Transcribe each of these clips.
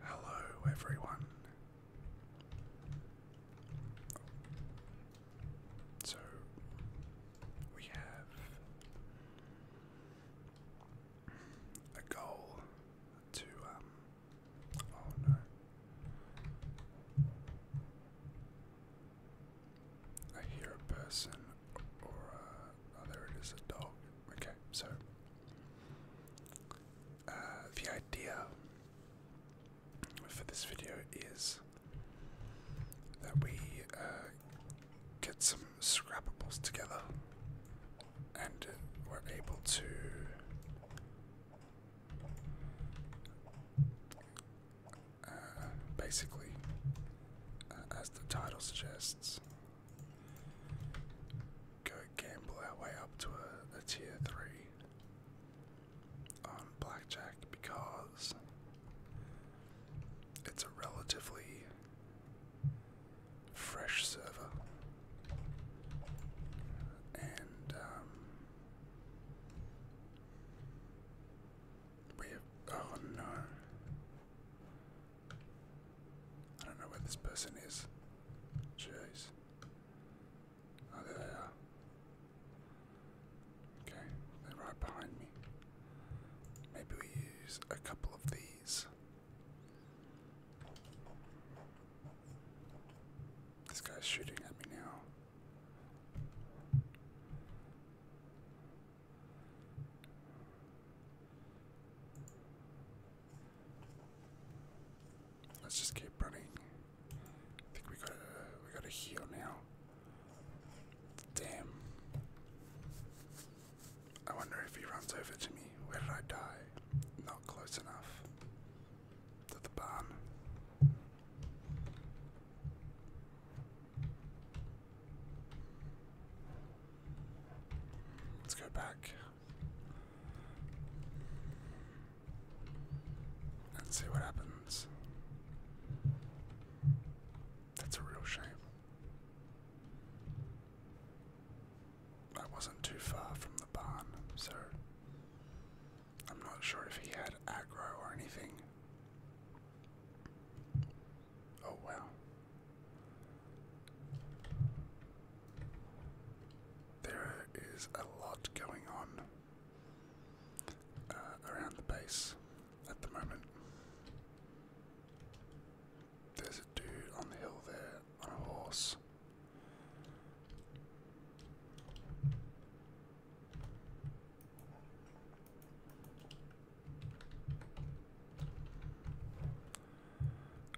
Hello, everyone. So we have a goal to, um, oh, I hear a person or a, uh, oh, it is, a dog. Okay, so uh, the idea for this video is that we uh, get some scrappables together and we're able to uh, basically, uh, as the title suggests, go gamble our way up to a, tier 3 on blackjack because it's a relatively fresh server and um, we have. Oh no. I don't know where this person is. Jeez. Oh, there they are. Okay, they're right behind me. Maybe we use a couple of these. This guy's shooting at me now. Let's just keep running. I think we got we got to heal now. Damn. I wonder if he runs over to me. Where did I die? Not close enough to the barn. Let's go back and see what happens. That's a real shame. I wasn't too far from the barn, so I'm not sure if he had agro or anything. Oh, wow. There is a lot going on uh, around the base at the moment. There's a dude on the hill there on a horse.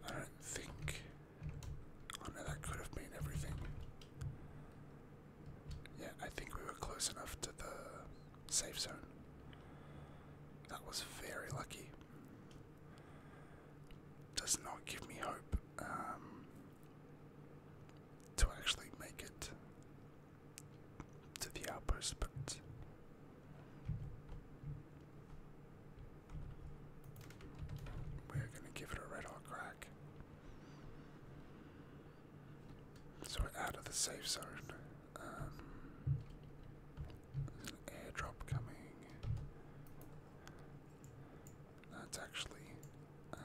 I think. Oh no, that could have been everything. Yeah, I think we were close enough to the safe zone. That was very lucky. Does not give me hope. Um, to actually make it to the outpost, but we're going to give it a red hot crack. So we're out of the safe zone. Um, an airdrop coming. That's actually uh,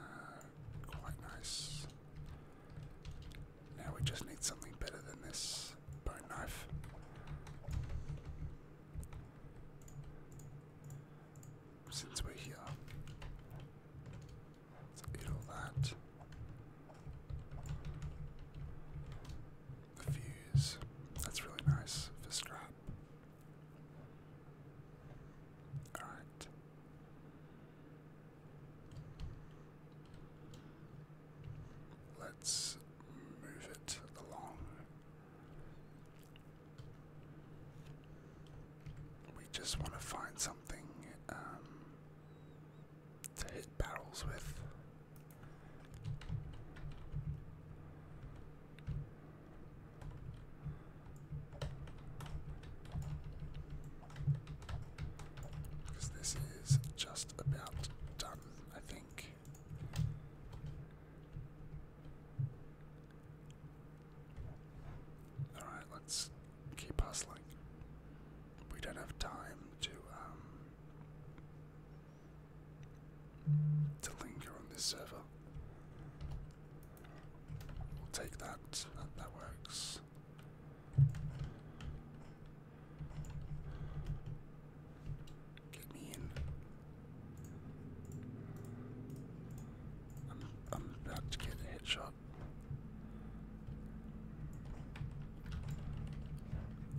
quite nice. Now we just need something better than this bone knife. Since we're here, let's eat all that. The fuse, that's really nice for scrap. Alright. Let's move it along. We just want to find something um, to hit barrels with. Because this is just about done, I think. Alright, let's keep hustling. We don't have time to um to linger on this server. We'll take that. That, works. Get me in. I'm, I'm about to get a headshot.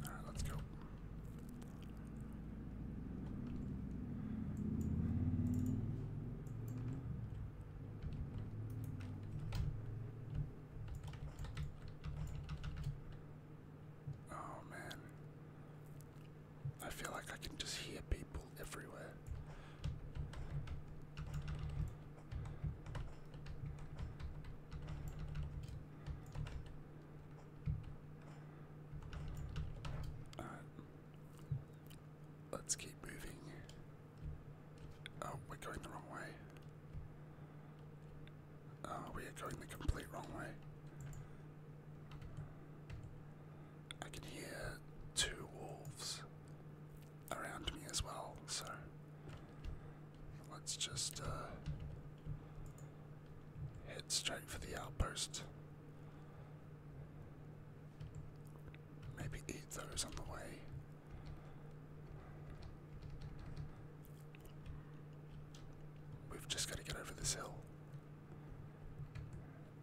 Alright, let's go. Oh man. I feel like I can just hear people everywhere. All right. Let's keep moving. Oh, we're going the wrong way. Oh, we are going the complete wrong way. I can hear two wolves around me as well, so let's just uh, head straight for the outpost. Maybe eat those on the way. We've just got to get over this hill.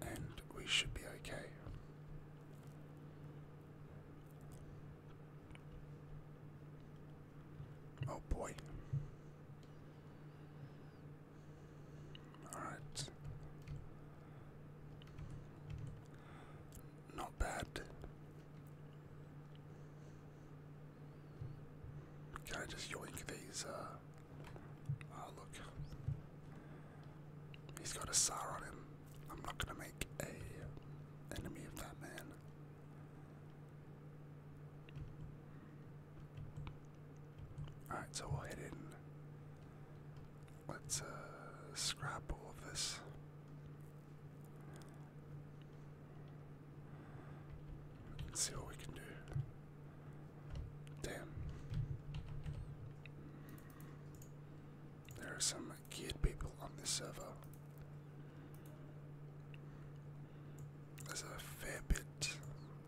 And we should be okay. Oh boy. Alright. Not bad. Can I just yoink these? Uh, oh, look. He's got a SAR on him. I'm not going to make a enemy of that man. Alright, so we'll head in. Let's uh, scrap all of this. see what we can do. Damn. There are some geared people on this server. There's a fair bit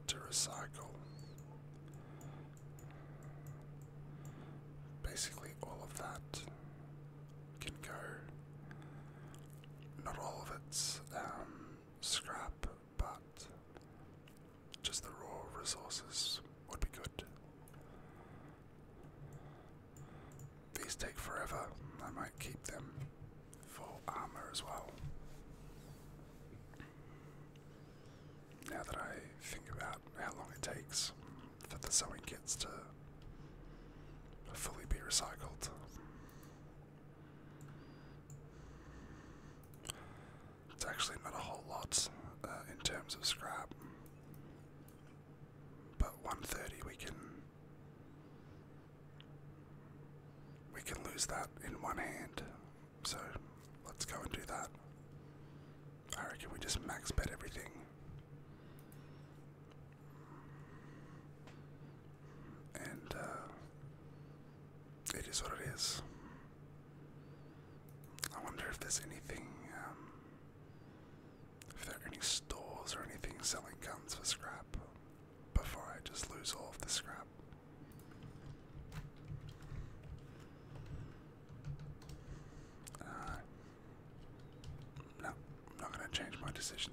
to recycle. Basically, all of that can go. Not all of it's um, scrap, but just the raw resources would be good. These take forever. I might keep them for armor as well now that I think about how long it takes for the sewing kits to fully be recycled. It's actually not a whole lot uh, in terms of scrap, but 130 we can we can lose that in one hand so let's go and do that. I reckon we just max bet everything. And uh, it is what it is. I wonder if there's anything, um, if there are any stores or anything selling guns for scrap before I just lose all of the scrap. Uh, no, I'm not going to change my decision.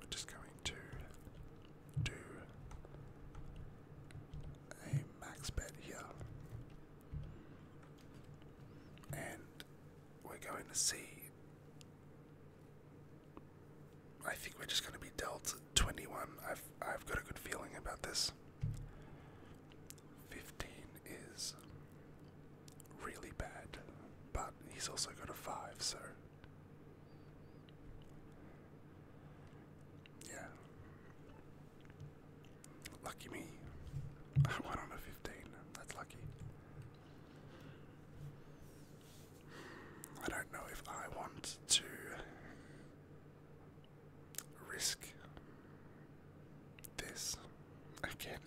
We're just going to do a max bet here. And we're going to see. I think we're just going to be dealt 21. I've I've got a good feeling about this. Fifteen is really bad, but he's also got a five, so yeah. Lucky me. I went on a fifteen. That's lucky. I don't know if I want to risk this again.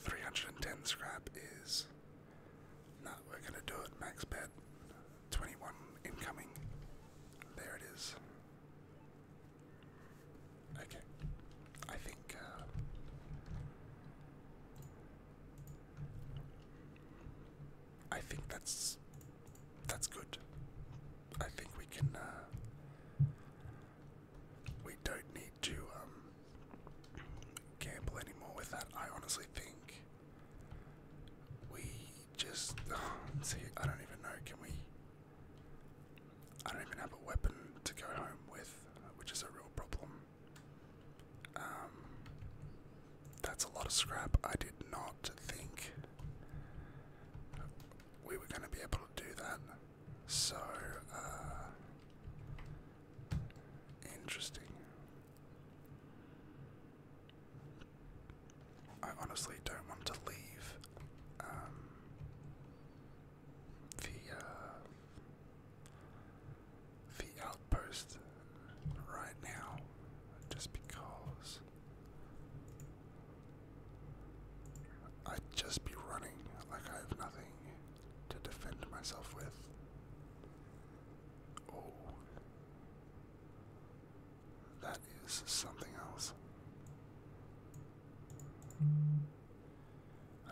310 scrap is. No, we're gonna do it. Max bet. 21 incoming. There it is. Okay. I think. Uh, I think that's that's good. I think we can. Uh, we don't need to um, gamble anymore with that. I honestly think we just oh, see. I don't even know. Can we? I don't even have a weapon to go home with, which is a real problem. Um, that's a lot of scrap. I did not think we were going to be able to do that. So, uh, interesting. I honestly don't want to leave um, the, uh, the outpost right now just because I'd just be running like I have nothing to defend myself with. Oh. That is something else.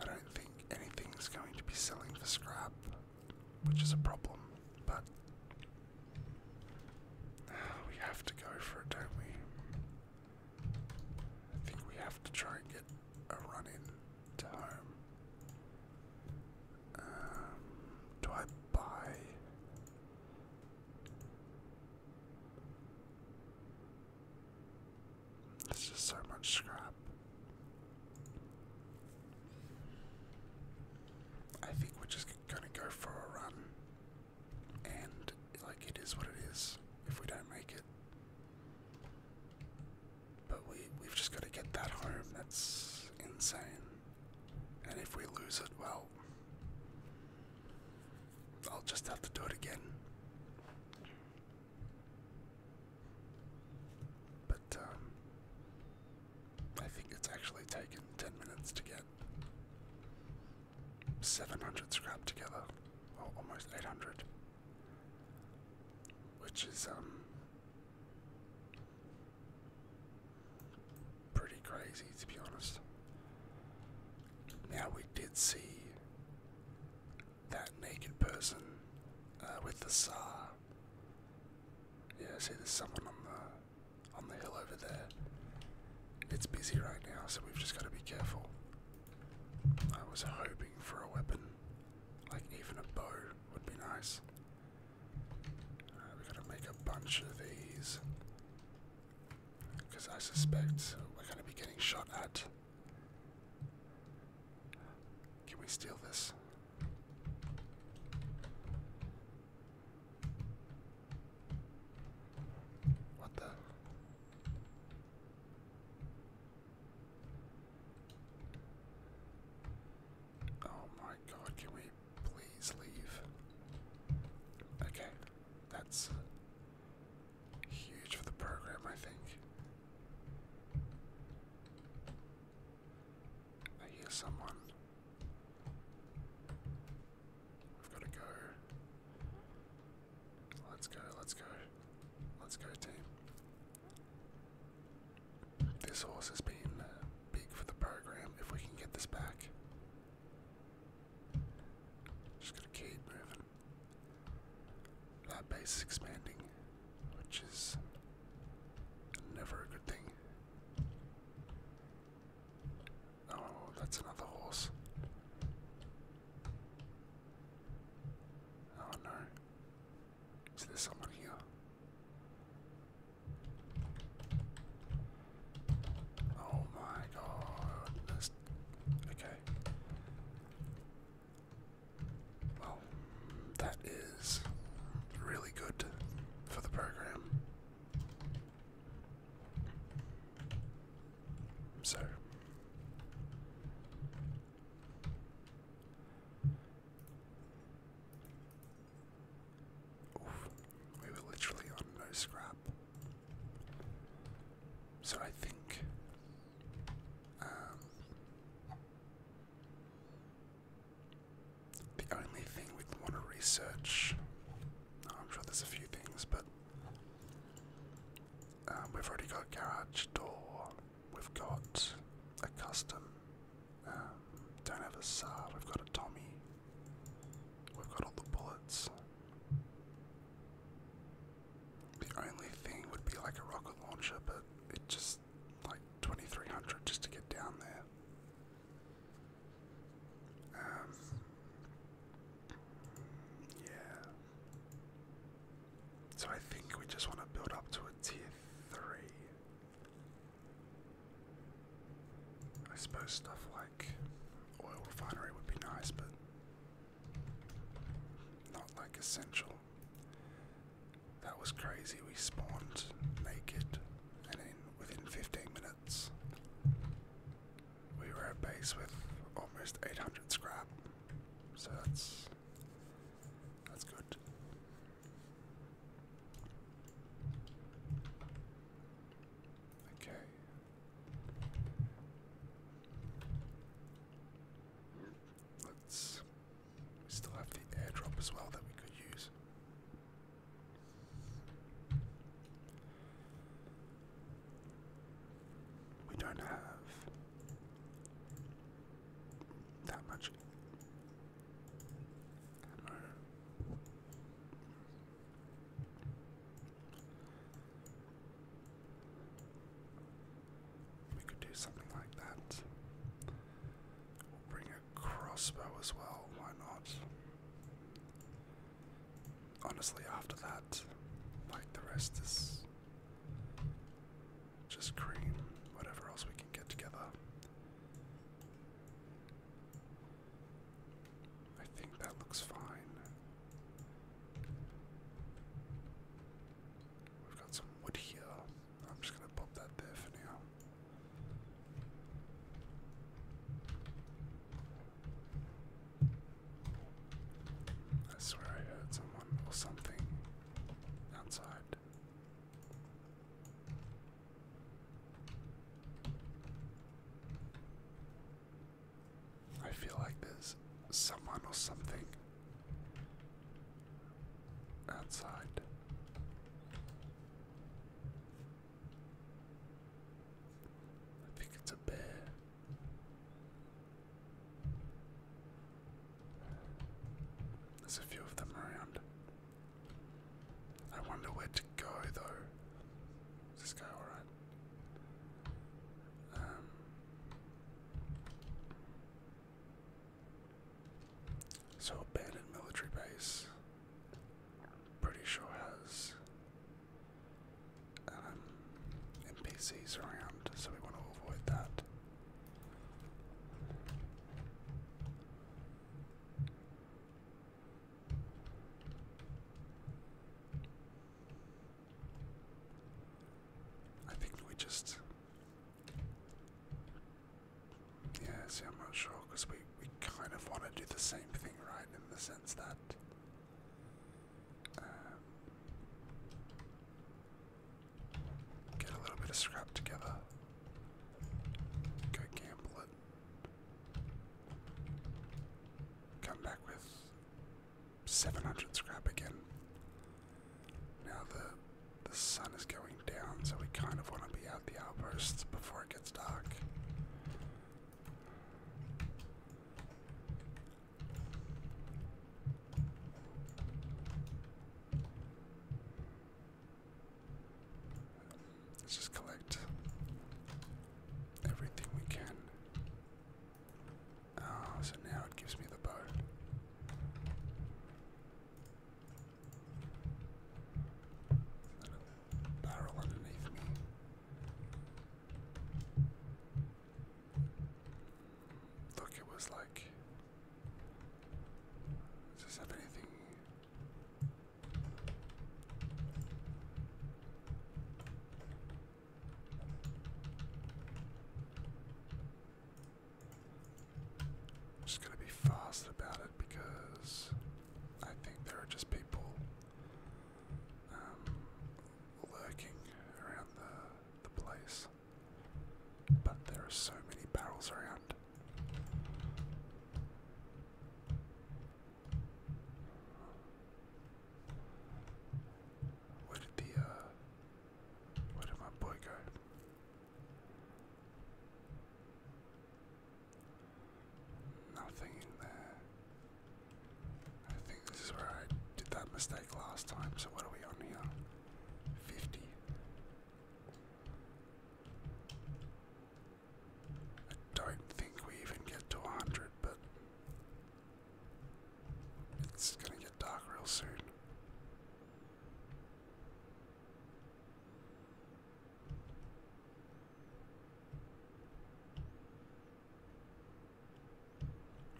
I don't think anything's going to be selling for scrap, which is a problem, but We have to go for it, don't we? I think we have to try and get a run in to home. Um, do I buy? There's just so much scrap. I think we're just gonna go for a run and like it is what it is if we don't make it. But we we've just got to get that home. That's insane. And if we lose it, well, I'll just have to do it again. But um, I think it's actually taken ten minutes to get. 700 scrap together, or almost 800, which is um, pretty crazy to be honest. Now, we did see that naked person uh, with the SAR. Yeah, see, there's someone on the on the hill over there. It's busy right now, so we've just got to be careful. I was hoping for a weapon, like even a bow would be nice. Uh, we are going to make a bunch of these, because I suspect we're going to be getting shot at. Can we steal this? What the? Oh my god, can we please leave? Okay, that's huge for the program, I think. I hear someone. We've got to go. Let's go, let's go. Let's go, team. This horse has been uh, big for the program. If we can get this back, just gotta keep moving. That base is expanding, which is never a good thing. Oh, that's another horse. Oh no. Is there someone here? Oh my god. okay. Well, that is really good for the program. So we were literally on no scrap. So I think um, the only thing we want to research I'm sure there's a few things, but um, we've already got garage door. We've got a custom. Um, don't have a SAR. We've got a Tommy. We've got all the bullets. The only thing would be like a rocket launcher, but it just like 2300 just to get down there. Um, yeah. So I think we just want to build up to a tier three. I suppose stuff like oil refinery would be nice, but not like essential. That was crazy. We spawned naked and in within 15 minutes we were at base with almost 800 scrap, so that's that's good. Okay. Let's. We still have the airdrop as well that we could use. We don't have that much We could do something like that. We'll bring a crossbow as well, why not? honestly, after that, like the rest is just cream, whatever else we can get together. I think that looks fine. We've got some wood here. I'm just going to pop that there for now. I swear I heard someone or something outside. I feel like there's someone or something outside. I think it's a bear. There's a few of them around. I wonder where to go though. Is this guy alright? Um, so abandoned military base. Pretty sure has um, NPCs around, so we want to avoid that. I think we just. Yes, I'm not sure because we we kind of want to do the same thing, right? In the sense that. Um, get a little bit of scrap together. Go gamble it. Come back with 700 scrap again. Now the the sun is going down, so we kind of want to be out the outposts before it gets dark. Let's just collect everything we can. Oh, so now it gives me the bow. Look, it was like. Does this have anything? I'm just gonna be fast about it because I think there are just people lurking um, around the, the place. But there are so many barrels around. Where did the uh, where did my boy go? Nothing in there. I think this is where I did that mistake last time, so what are we on here? 50. I don't think we even get to 100, but it's gonna get dark real soon.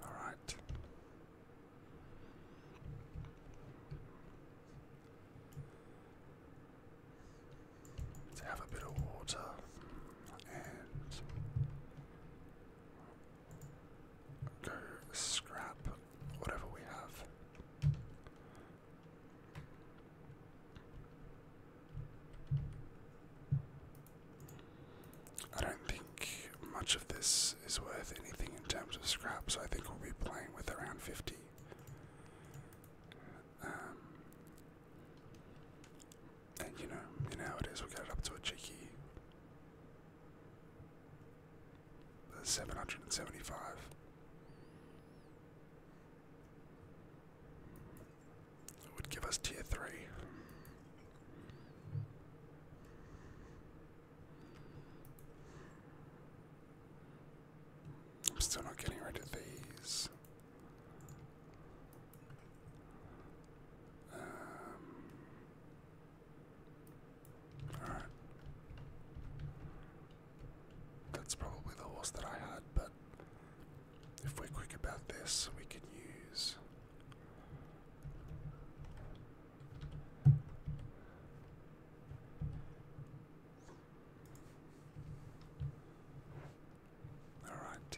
All right. Let's have a bit of water and go scrap whatever we have. I don't think much of this is worth anything in terms of scrap, so I think we'll be playing with around 50. Um, and you know, you is, we'll it up to a cheeky 775 would give us tier three. I'm still not getting rid of these. Um, all right. That's probably the worst that I had, but if we're quick about this, we can use. Alright.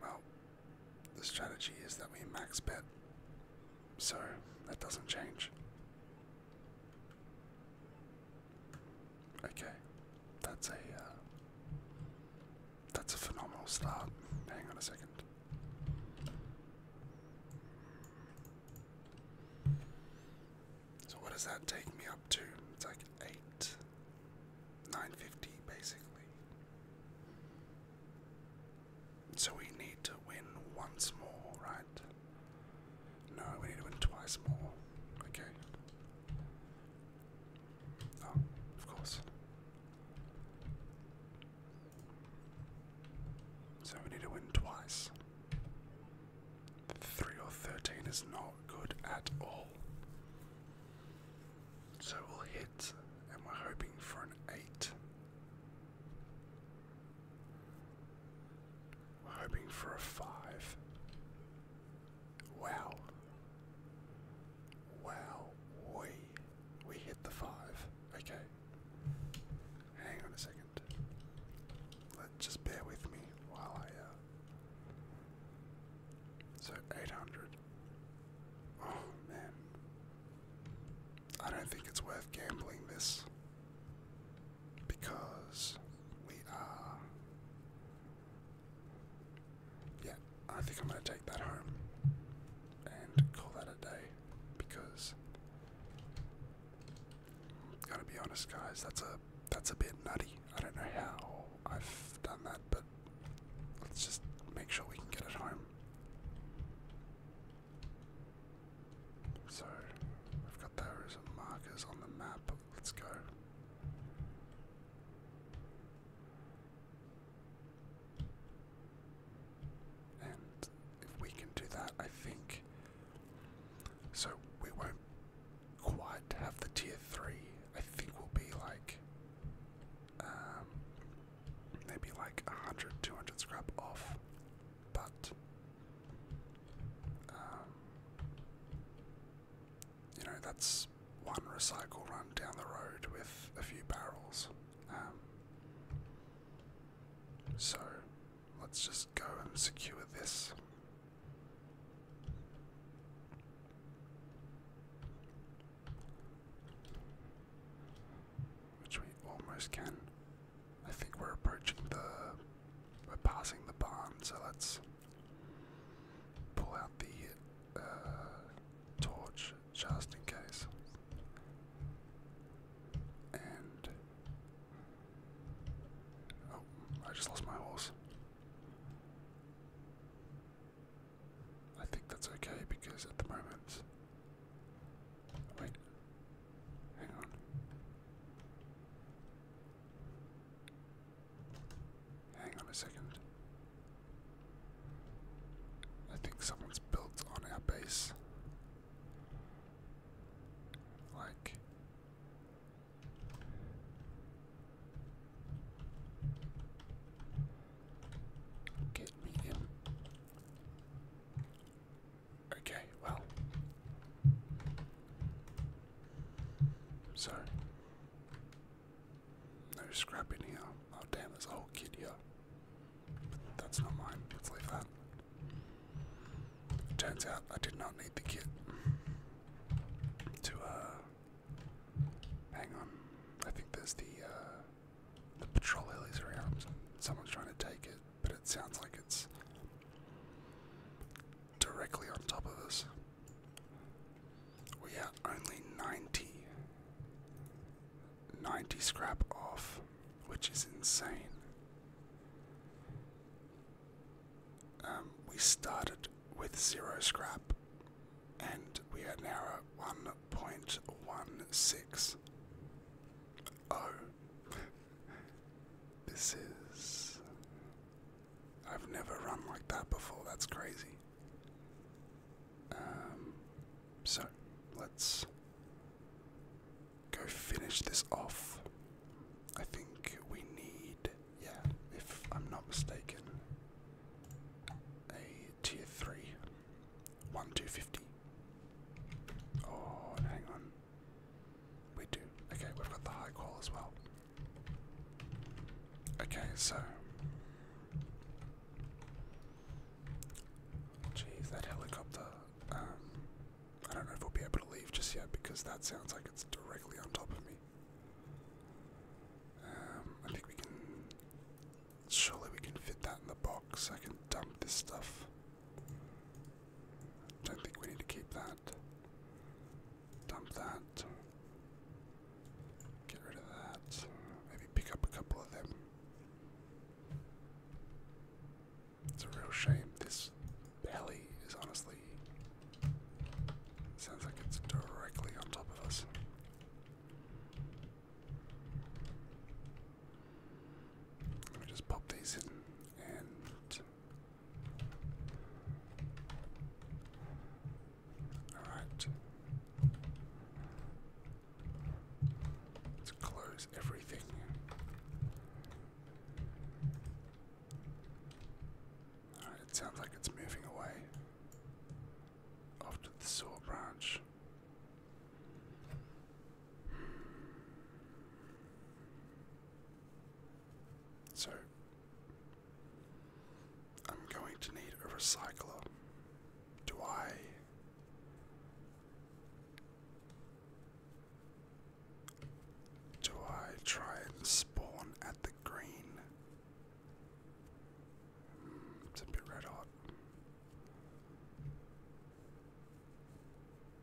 Well, the strategy is that we max bet, so that doesn't change. Okay, that's a uh, that's a phenomenal start. Hang on a second. So what does that take me up to? It's eight, nine fifty, basically. So we need to win once more, right? No, we need to win twice more. Okay. Oh, of course. So we need to win twice. Three or thirteen is not good at all. So we'll hit, and we're hoping for an eight. Hoping for a five. Wow. Wow. We we hit the five. Okay. Hang on a second. Let just bear with me while I uh so 800. Oh man. I don't think it's worth gambling this because we are. Yeah, I think I'm going to take that home and call that a day because. Gotta be honest, guys. That's a that's a bit nutty. I don't know how I've done that, but let's just make sure we can get it home. So I've got those markers on the map. Let's go. And if we can do that, I think. So we won't quite have the tier 3. I think we'll be like. Um, maybe like 100, 200 scrap off but um, you know that's one recycle run down the road with a few barrels. Um, so let's just go and secure this. Which we almost can. I think we're approaching the. We're passing the barn, so let's pull out the uh, torch just in case. And. Oh, I just lost my horse. I think that's okay because at the moment. Hang on. Hang on a second. I think someone's built on our base. Like. Get me in. Okay, well. So. No scrap in here. Oh damn, there's a whole kid here. that's not mine. Let's leave that. turns out I did not need the kit to, uh. Hang on. I think there's the, uh. The patrol helis around. Someone's trying to take it but it sounds like it's directly on top of us. We are only 90. scrap off, which is insane. Um, we started with zero scrap, and we are now at 1.16. Oh, this is. I've never run like that before, that's crazy. Um, so, let's go finish this off. I think we need, yeah, if I'm not mistaken, a tier 3, 1 250. Oh, hang on. We do. Okay, we've got the high call as well. Okay, so. Jeez, that helicopter. Um, I don't know if we'll be able to leave just yet because that sounds like it's directly on top of me. Um, I think we can. Surely we can fit that in the box. I can dump this stuff. Don't think we need to keep that. Dump that. Get rid of that. Maybe pick up a couple of them. It's a real shame. This belly is honestly. Sounds like it's directly on top of us. Let me just pop these in and Alright. Let's close everything. it sounds like it's moving away. Off to the saw branch. So I'm going to need a recycler. Do I do I try and spawn at the green? Hmm, it's a bit red hot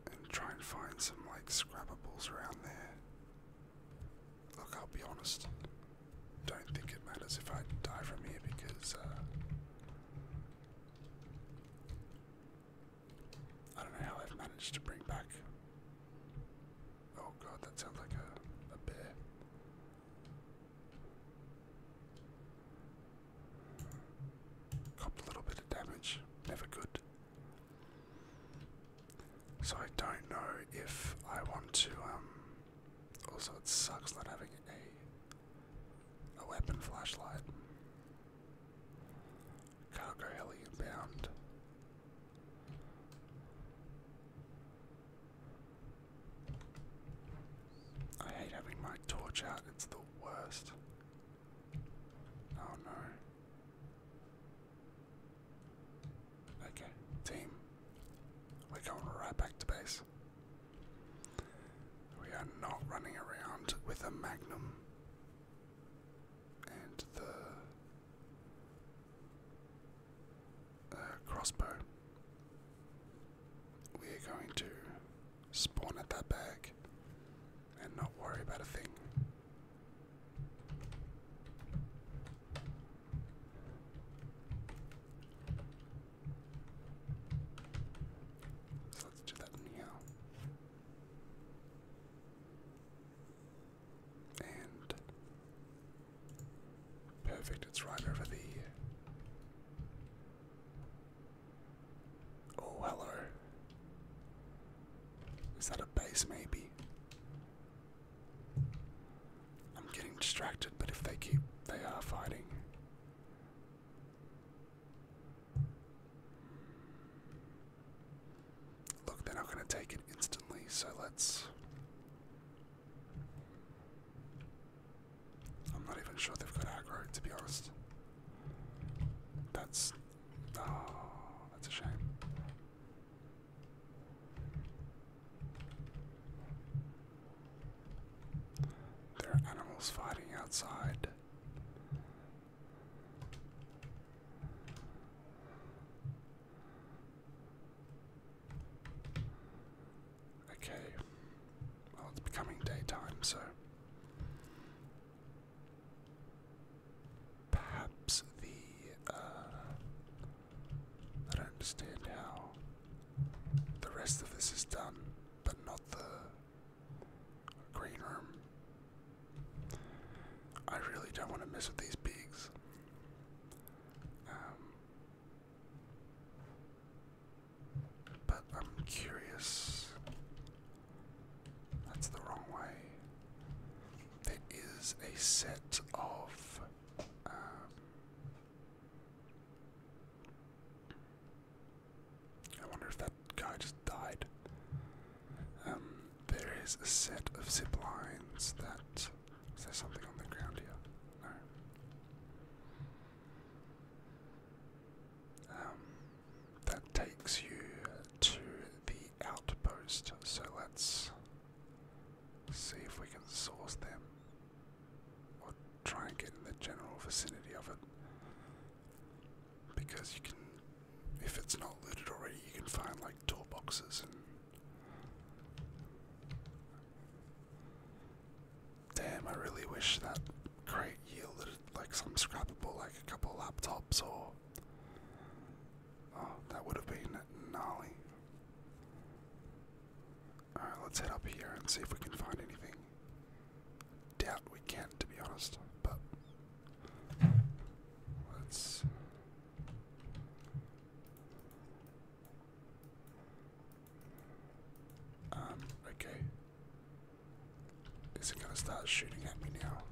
and try and find some like scrappables around there. Look, I'll be honest. Don't think it matters if I die from here because uh, I don't know how I've managed to bring back. Oh god, that sounds like a, a bear. Copped a little bit of damage, never good. So I don't know if I want to, um, also it sucks not having a, a weapon flashlight. Cargo heli inbound. I hate having my torch out, it's the worst. Oh no. Okay, team. We're going right back to base. We are not running around with a magnum and the uh, crossbow. We are going to spawn at that bag and not worry about a thing. So let's do that now. And perfect, it's right over the Oh, hello. Is that a base, maybe? I'm getting distracted, but if they keep. they are fighting. Look, they're not going to take it instantly, so let's. I'm not even sure they've got aggro, to be honest. That's Oh, that's a shame. There are animals fighting outside. Okay. Well, it's becoming daytime, so Perhaps the. Uh, I don't understand how the rest of this is done, but not the green room. I really don't want to mess with these pigs. Um, but I'm curious that's the wrong way. There is a set of. Um, I wonder if that guy just died. Um, there is a set of zip lines that. Is there something on the ground here? No. Um, that takes you to the outpost, so let's see if we can source them or try and get in the general vicinity of it. Because you can, if it's not looted already, you can find like toolboxes Damn, I really wish that crate yielded like some scrapable, like a couple laptops or Oh, that would have been gnarly. Alright, let's head up here and see if we can find anything. Doubt we can, to be honest, but let's. Um, okay. Is it gonna start shooting at me now?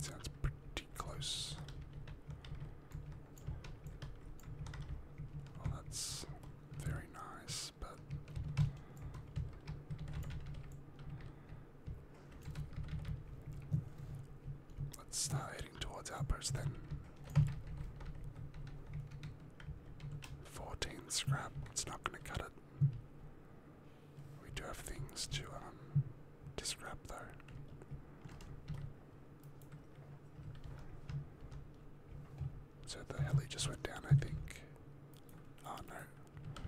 Sounds pretty close. Well, that's very nice, but let's start heading towards outpost then. 14 scrap, it's not going to cut it. We do have things to, um, scrap though. So the heli just went down, I think. Oh no.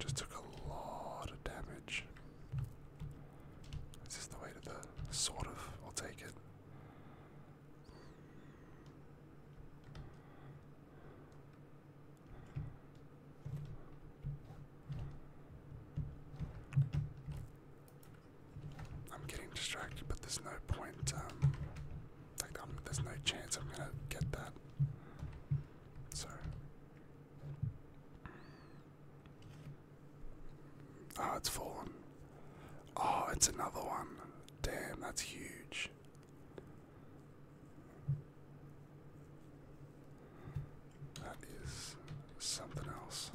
Just took a lot of damage. This Is the way to the sort of? I'll take it. I'm getting distracted, but there's no point. Um, like, there's no chance I'm gonna get that. So. Oh, it's fallen. Oh, it's another one. Damn, that's huge. That is something else.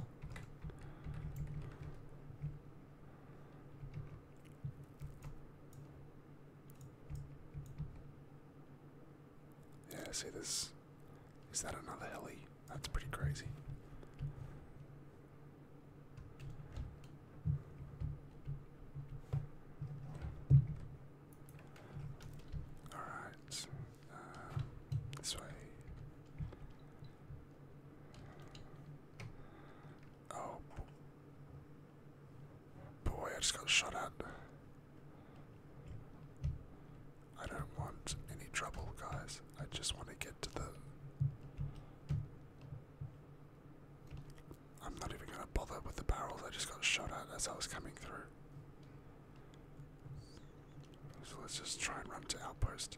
Yeah, see this. Is that another heli? That's pretty crazy. All right, uh, this way. Oh boy, I just got shot at. I don't want any trouble, guys. I just want to get to the. I'm not even going to bother with the barrels. I just got shot at as I was coming through. So let's just try and run to outpost.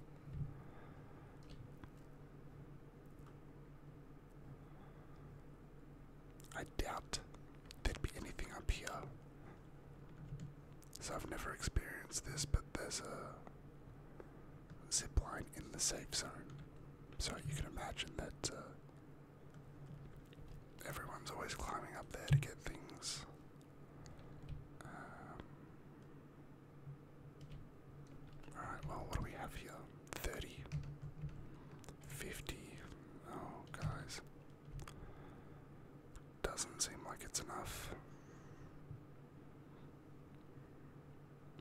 I doubt there'd be anything up here. So I've never experienced this, but there's a zip line in the safe zone. So you can imagine that uh, everyone's always climbing up there to get things. Um, alright, well, what do we have here? 30, 50. Oh, guys. Doesn't seem like it's enough.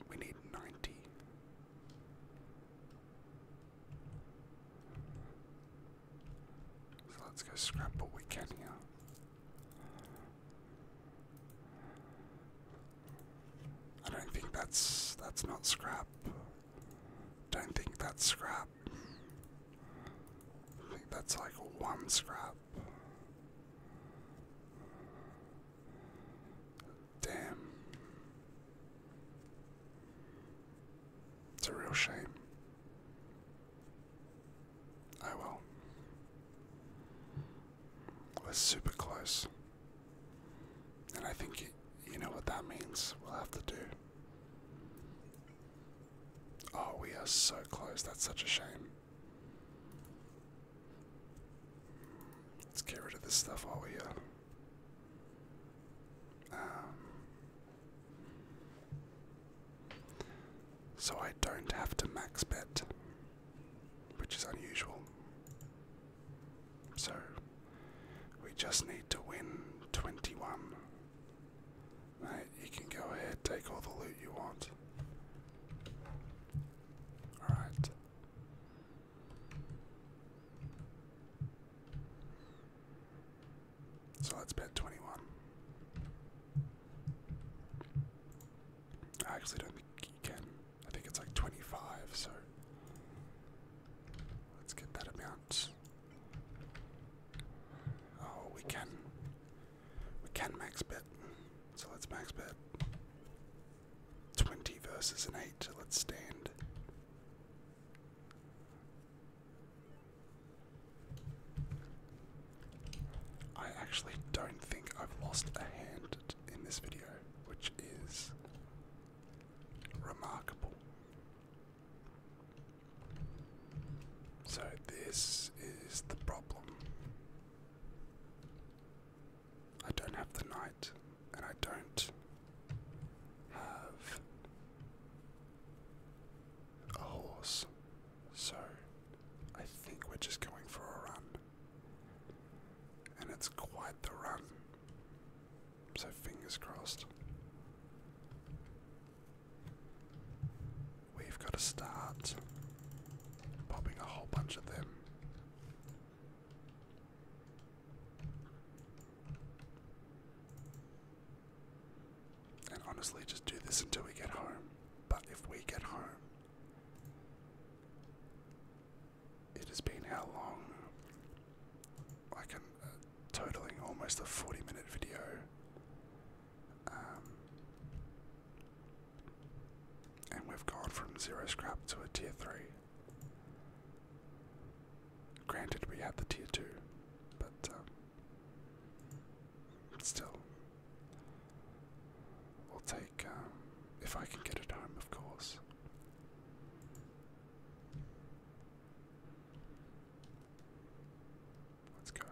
We need 90. So let's go scrap what we can here. I don't think that's that's not scrap. Don't think that's scrap. I think that's like one scrap. Damn. It's a real shame. Oh well. We're super close. And I think you know what that means. We'll have to do. Oh, we are so close. That's such a shame. Let's get rid of this stuff while we uh, um, so I don't have to max bet, which is unusual. So we just need to win 21 you can go ahead, take all the loot you want. Alright. So let's bet 21. I actually don't think you can. I think it's like 25, so let's get that amount. Oh, we can we can max bet, so let's max bet. 20 versus an 8, let's stand. I actually don't think I've lost a hand in this video, which is remarkable. So, this is the problem. I don't have the knight, and I don't have a horse, so I think we're just going for a run. And it's quite the run, so fingers crossed. We've got to start popping a whole bunch of them. And honestly, just do this until we get home. But if we get home, it has been how long? Like a, a uh, totaling almost a 40 minute video um, and we've gone from zero scrap to a tier 3. Granted, we had the tier 2, but um, still, we'll take, um, if I can get it home, of course. Let's go.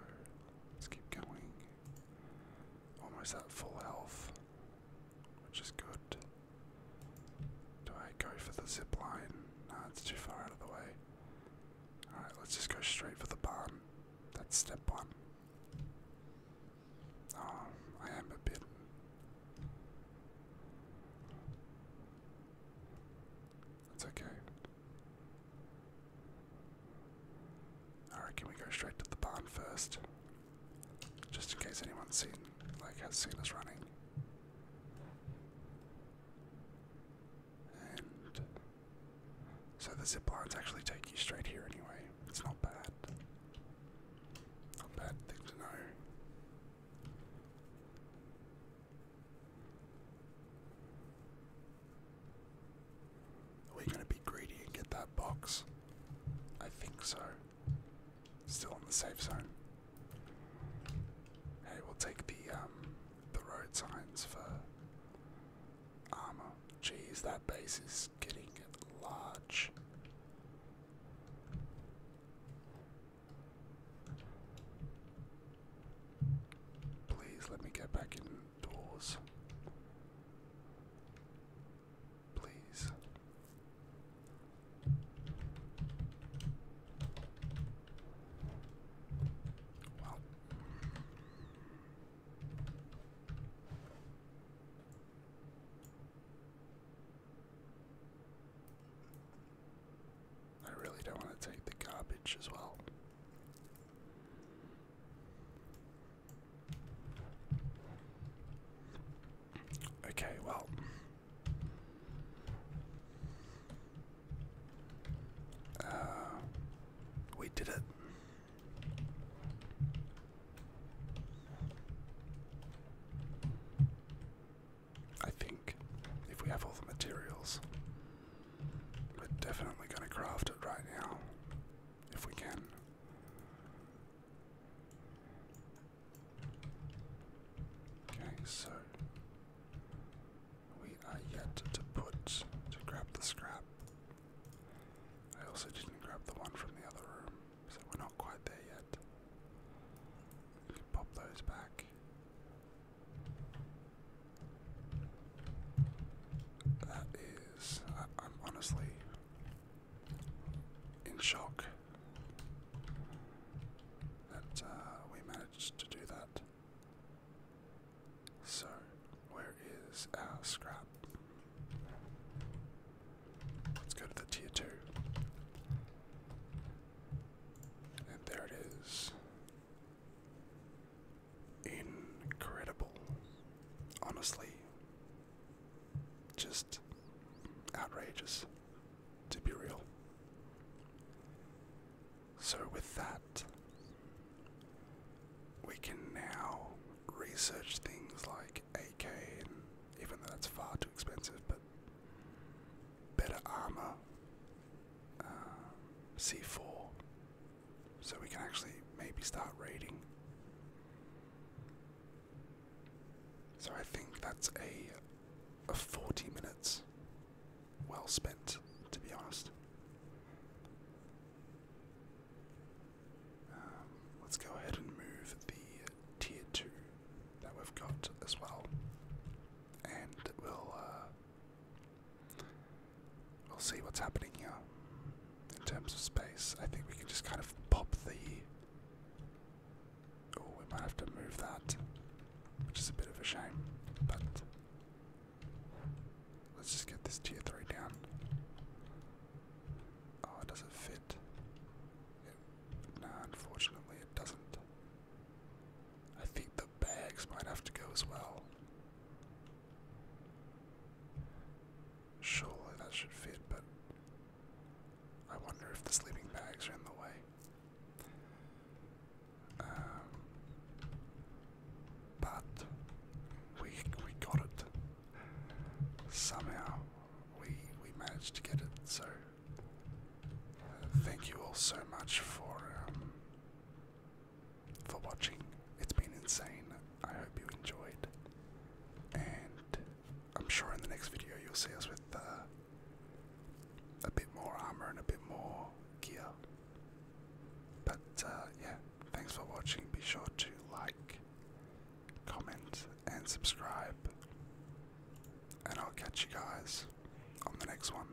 Let's keep going. Almost at full health, which is good. Do I go for the zip line? Nah, it's too far out of the way. Alright, let's just go straight for the barn. That's step one. Oh, I am a bit. That's okay. Alright, can we go straight to the barn first? Just in case anyone's seen, like, has seen us running. And so the zip lines actually take you straight here anyway. It's not bad. Not bad thing to know. Are we gonna be greedy and get that box? I think so. Still in the safe zone. Hey, we'll take the um, the road signs for armor. Jeez, that base is getting large. Please let me get back in doors. Please. Well. I really don't want to take the garbage as well. Okay, well. Uh, we did it. I think if we have all the materials, we're definitely going to craft it right now if we can. Okay, so we are yet to put to grab the scrap. I also didn't grab the one from the other room, so we're not quite there yet. pop those back. That is. I, am honestly in shock that uh, we managed to do that. So, where is our scrap? Let's go to the tier 2. And there it is. Incredible. Honestly, just outrageous, to be real. So, with that, we can now research things like AK, and even though that's far too expensive, but better armor, uh, C4, so we can actually maybe start raiding. So I think that's a, 40 minutes well spent, to be honest. Um, let's go ahead and move the tier 2 that we've got as well. And we'll uh, We'll see what's happening here in terms of space. I think we can just kind of pop the. Oh, we might have to move that, which is a bit of a shame, but let's just get this tier 3 down. Oh, it does not fit? no, unfortunately, it doesn't. I think the bags might have to go as well. Surely that should fit, but I wonder if the sleeping bags are in the way. Um, but we we got it somehow. We we managed to get it. So uh, thank you all so much for um, for watching. It's been insane. I hope you enjoyed. And I'm sure in the next video you'll see us with uh, a bit more armor and a bit more gear. But uh, yeah, thanks for watching. Be sure to like, comment, and subscribe. And I'll catch you guys on the next one.